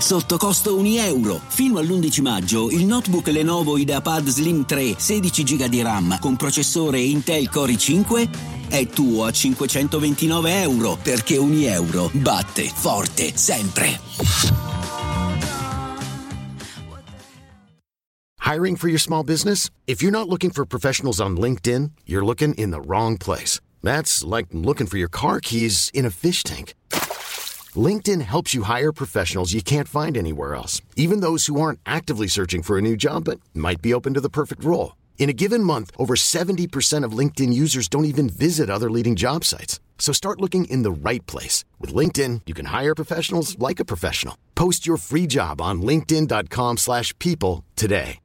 Sotto costo 1 euro. Fino all'11 maggio il notebook Lenovo IdeaPad Slim 3 16 GB di RAM con processore Intel Core i5 è tuo a 529 euro perché 1 euro batte forte sempre. Hiring for your small business? If you're not looking for professionals on LinkedIn, you're looking in the wrong place. That's like looking for your car keys in a fish tank. LinkedIn helps you hire professionals you can't find anywhere else, even those who aren't actively searching for a new job but might be open to the perfect role. In a given month, over 70% of LinkedIn users don't even visit other leading job sites. So start looking in the right place. With LinkedIn, you can hire professionals like a professional. Post your free job on linkedin.com slash people today.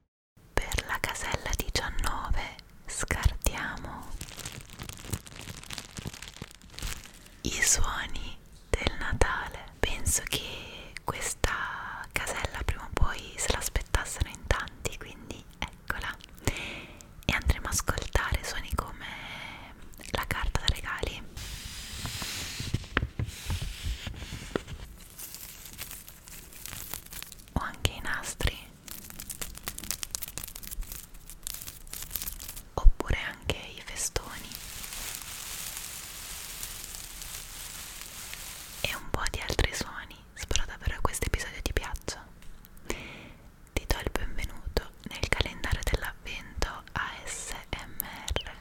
Per la casella 19 scartiamo i suoni del Natale. Penso che questa casella prima o poi se l'aspettassero in tanti, quindi eccola. E andremo a ascoltare suoni come la carta da regali. O anche i nastri oppure anche i festoni e un po' di altri suoni. Spero davvero che questo episodio ti piaccia. Ti do il benvenuto nel calendario dell'avvento ASMR.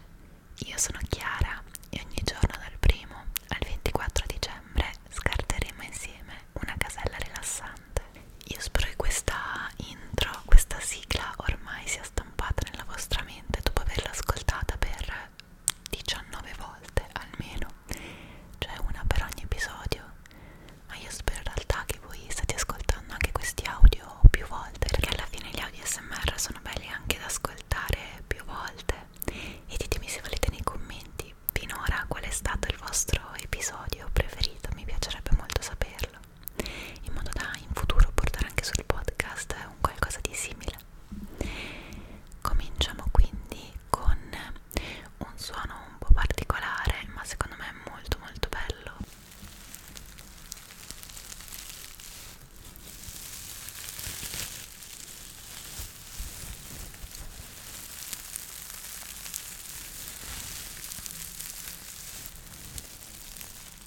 Io sono Chiara e ogni giorno dal primo al 24 dicembre scarteremo insieme una casella rilassante. Io spero che questa intro, questa sigla ormai sia stampata nella vostra mente dopo averla ascoltata per 19 volte almeno, cioè una per ogni episodio. Ma io spero in realtà che voi state ascoltando anche questi audio più volte, perché alla fine gli audio SMR sono belli anche da ascoltare più volte. E ditemi se volete nei commenti Finora qual è stato il vostro episodio preferito? Mi piacerebbe molto saperlo, in modo da in futuro portare anche sul podcast un qualcosa di simile. Cominciamo quindi con un suono un po' particolare, ma secondo me molto molto bello.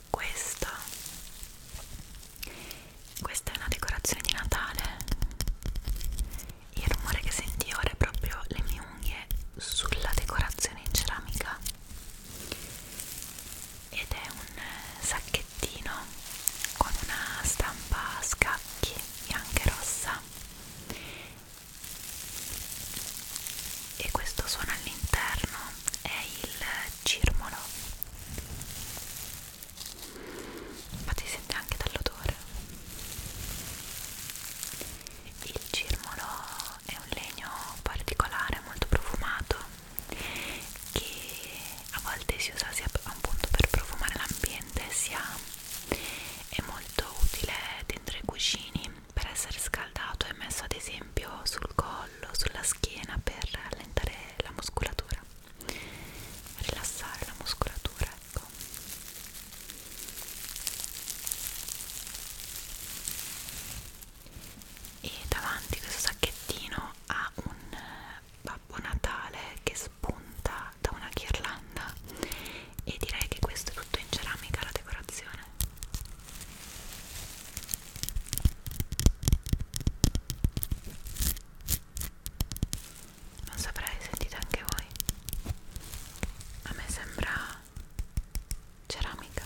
Questa, questa è una decorazione di Natale. Il rumore che senti ora è proprio le mie unghie sulla decorazione in ceramica. Ed è un sacchettino con una stampa a scacchi bianca e rossa viola e questo suono all'interno è il cirmolo ma si sente anche dall'odore il cirmolo è un legno particolare molto profumato che a volte si usa sia appunto per profumare l'ambiente sia è molto utile dentro i cuscini per essere scaldato e messo ad esempio sul collo, sulla schiena per allentare la muscolatura, rilassare la muscolatura, ecco. E davanti questo sacchettino ha un Babbo Natale che spunta da una ghirlanda e direi che questo è tutto in ceramica la decorazione non saprei, sentite anche voi a me sembra ceramica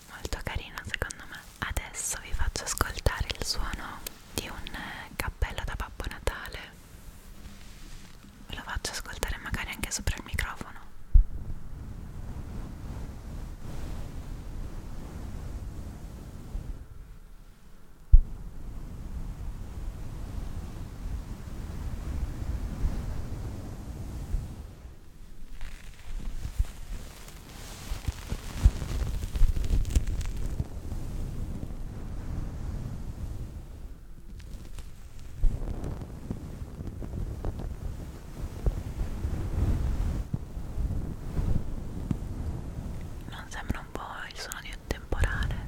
molto carina secondo me adesso vi faccio ascoltare il suono di un eh, cappello da Babbo Natale ve lo faccio ascoltare magari anche sopra il microfono non sembra un po' il suono di un temporale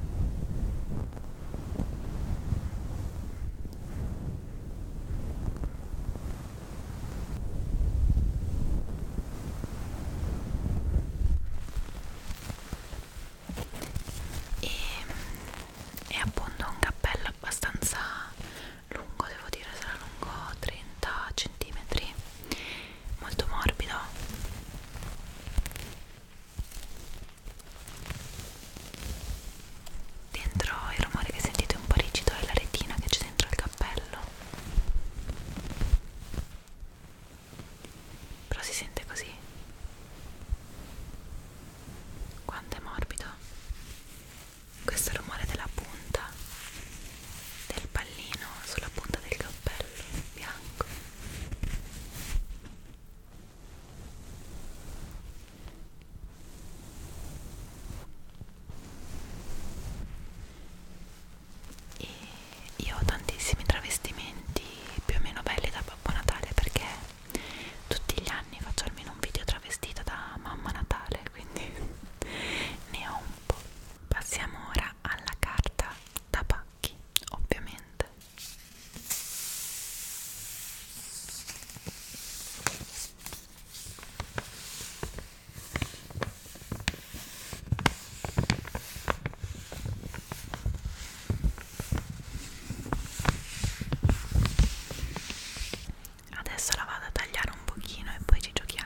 e è appunto un cappello abbastanza lungo devo dire sarà lungo 30 cm molto morbido dentro il rumore che sentite un po' rigido è la retina che c'è dentro il cappello però si sente così quanto è morbido questo rumore della punta del pallino sulla punta del cappello bianco e io ho tantissimi travestimenti più o meno belli da Babbo Natale perché tutti gli anni faccio almeno un video travestita da Mamma Natale quindi ne ho un po' passiamo ora alla carta da pacchi ovviamente Adesso la vado a tagliare un pochino e poi ci giochiamo.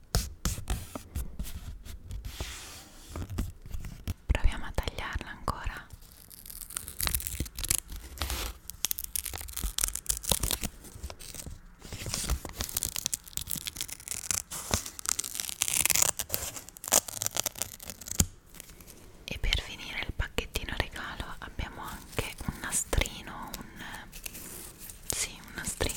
Proviamo a tagliarla ancora. E per finire il pacchettino regalo abbiamo anche un nastrino, un sì, un nastrino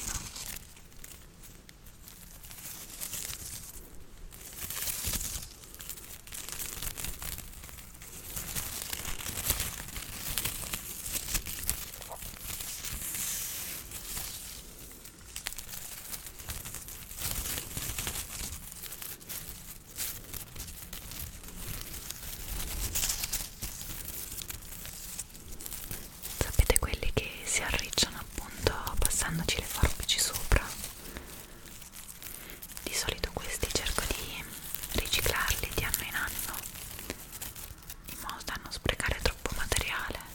sapete quelli che si arricciano appunto passandoci le forbici sopra di solito questi cerco di riciclarli di anno in anno in modo da non sprecare troppo materiale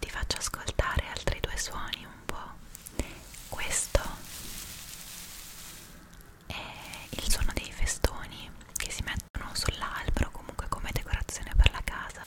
ti faccio ascoltare altri due suoni un po'. Questo è il suono dei festoni che si mettono sull'albero comunque come decorazione per la casa.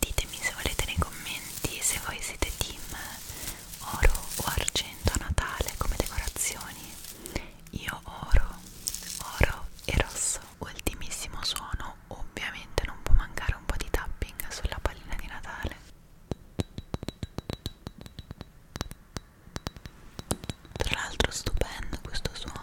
Ditemi se volete nei commenti se voi siete team oro o argento a Natale come decorazioni. Io oro, oro e rosso. Ultimissimo suono, ovviamente non può mancare un po' di tapping sulla pallina di Natale. Tra l'altro stupendo questo suono.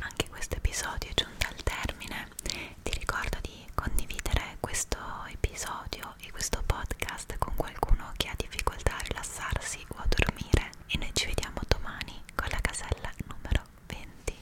Anche questo episodio è giunto al termine. Ti ricordo di condividere questo episodio e questo podcast con qualcuno che ha difficoltà a rilassarsi o a dormire. E noi ci vediamo domani con la casella numero 20.